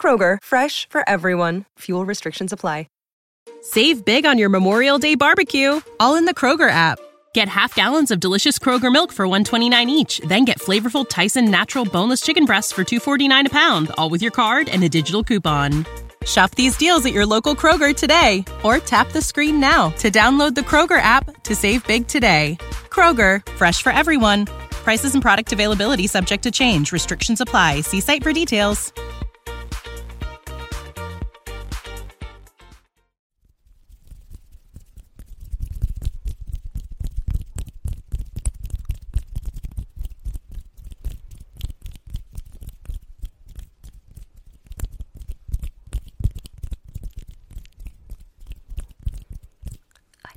Kroger, fresh for everyone. Fuel restrictions apply. Save big on your Memorial Day barbecue, all in the Kroger app. Get half gallons of delicious Kroger milk for 129 each, then get flavorful Tyson natural boneless chicken breasts for 249 a pound, all with your card and a digital coupon. Shop these deals at your local Kroger today or tap the screen now to download the Kroger app to save big today. Kroger, fresh for everyone. Prices and product availability subject to change. Restrictions apply. See site for details.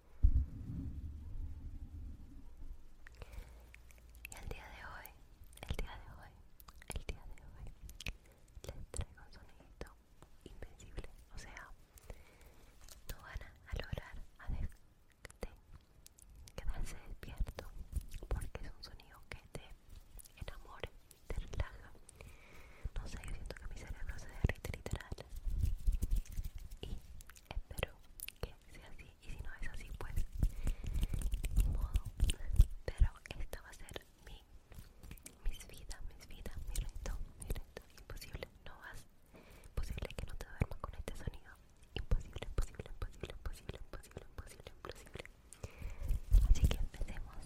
Y el día de hoy, el día de hoy, el día de hoy, les traigo un sonidito invencible. O sea, no van a lograr a quedarse despierto porque es un sonido que te enamora, te relaja. No sé, yo siento que mi cerebro se derrite literal. Y espero que sea así y si no es así pues pero esta va a ser mi mis vida mis vida mi reto mi reto imposible no vas imposible que no te duermas con este sonido imposible imposible imposible imposible imposible imposible imposible así que empecemos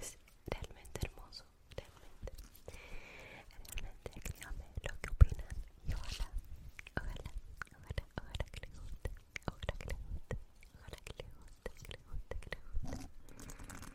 Es realmente hermoso, realmente. Realmente díganme lo que opinan y ojalá, ojalá, ojalá, ojalá que le guste, ojalá que le guste, ojalá que le guste, que le guste, que le guste.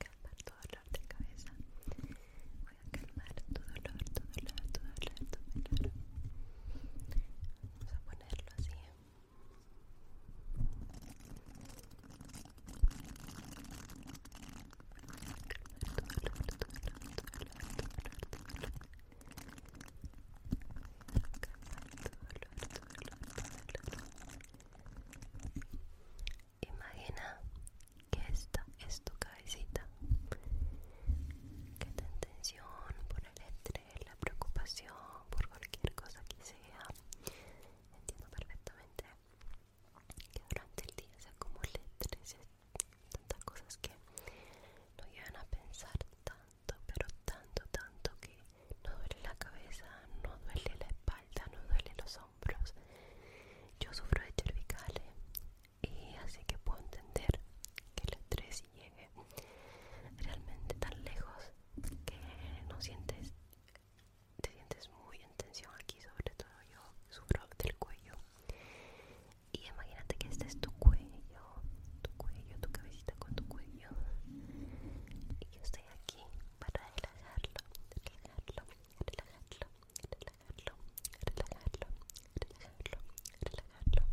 Calmar tu dolor de cabeza. Voy a calmar tu dolor, tu dolor, tu dolor, tu dolor. Vamos a ponerlo así. tu dolor, Imagina que esta es tu cabecita, que tu tensión por el estrés, la preocupación, por cualquier cosa que sea. Entiendo perfectamente que durante el día se letres y tantas cosas que no llevan a pensar tan pero tanto, tanto que no duele la cabeza, no duele la espalda, no duele los hombros. Yo sufro de cervicales y así que puedo entender que el estrés llegue realmente tan lejos que no sientes, te sientes muy en tensión aquí, sobre todo yo sufro del cuello. Y imagínate que este es tu cuello, tu cuello, tu cabecita con tu cuello yo y yo estoy aquí para relajarlo, relajarlo, relajarlo, relajarlo, relajarlo, relajarlo, relajarlo, relajarlo.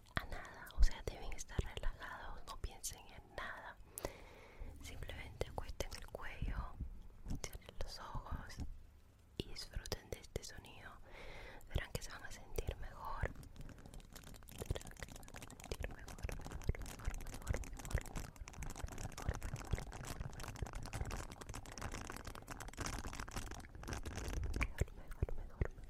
a nada, o sea, deben estar relajados, no piensen en nada. Simplemente acuesten el cuello, cierren los ojos y disfruten de este sonido. Verán que se van a sentir mejor. Verán que se van a sentir mejor, mejor.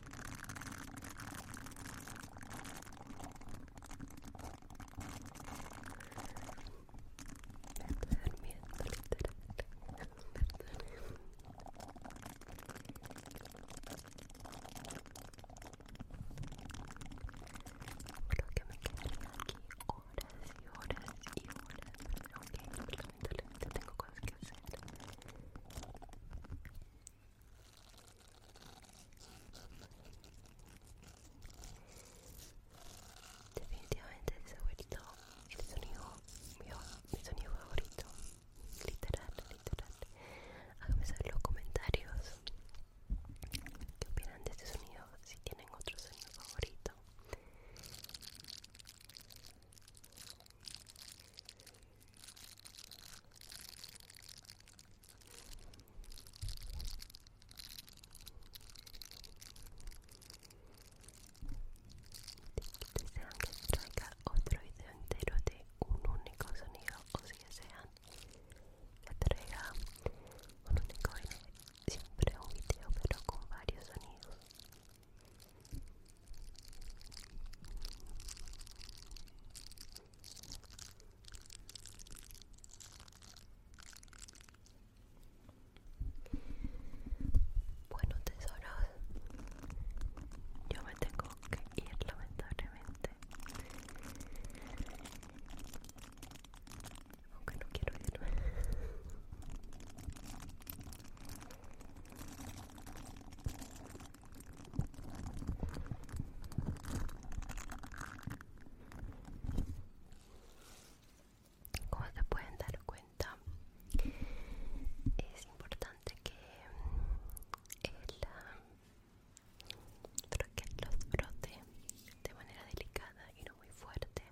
me estoy durmiendo literal perdón creo que me quedaría aquí horas y horas y horas aunque lamentablemente tengo cosas que hacer Definitivamente ese abuelito el sonido, mi sonido favorito. Literal, literal. Háganme saber los comentarios qué opinan de este sonido, si tienen otro sonido favorito que desean que traiga otro video entero de un único sonido o si desean que traiga un único siempre un video pero con varios sonidos bueno, tesoros, yo me tengo que ir lamentablemente. Aunque no quiero irme. Como se pueden dar cuenta, es importante que el eh, troquel los brote de manera delicada y no muy fuerte,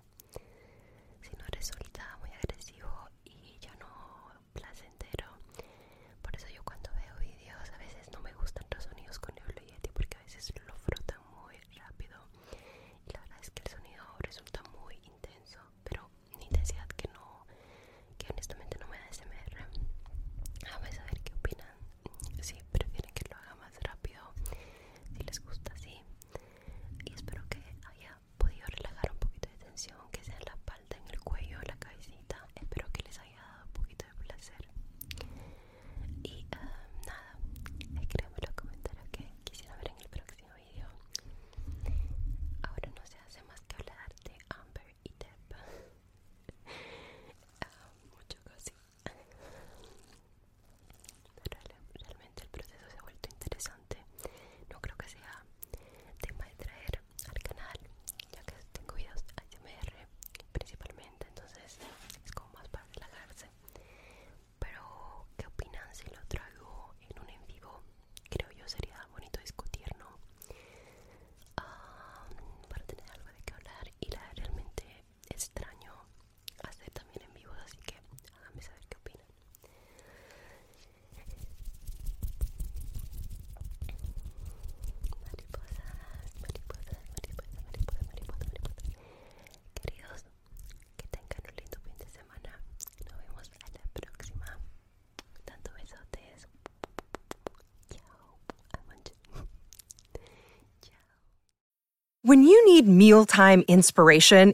si no resulta muy agresivo y ya no placentero. Por eso yo cuando veo vídeos a veces no me gustan los sonidos con el porque a veces lo frotan muy rápido. Y la verdad es que el sonido resulta muy intenso, pero ni intensidad que no, que honestamente no me da SMR. Vamos a ver qué opinan. Si prefieren que lo haga más rápido, si les gusta así. Y espero que haya podido relajar un poquito de tensión que sea en la espalda, en el cuello, en la cabecita. Espero que les haya dado un poquito de placer. Y eh, nada, escríbanme los comentarios que quisiera ver en el próximo video. Ahora no se hace más que hablar de Amber y Deb. Ah, mucho casi. realmente el proceso se ha vuelto interesante no creo que sea tema de traer al canal ya que tengo videos ASMR principalmente entonces es como más para relajarse pero ¿qué opinan si lo traigo en un en vivo? creo yo sería bonito discutir ¿no? Ah, para tener algo de qué hablar y la realmente extraño hacer también en vivo así que háganme saber qué opinan When you need mealtime inspiration,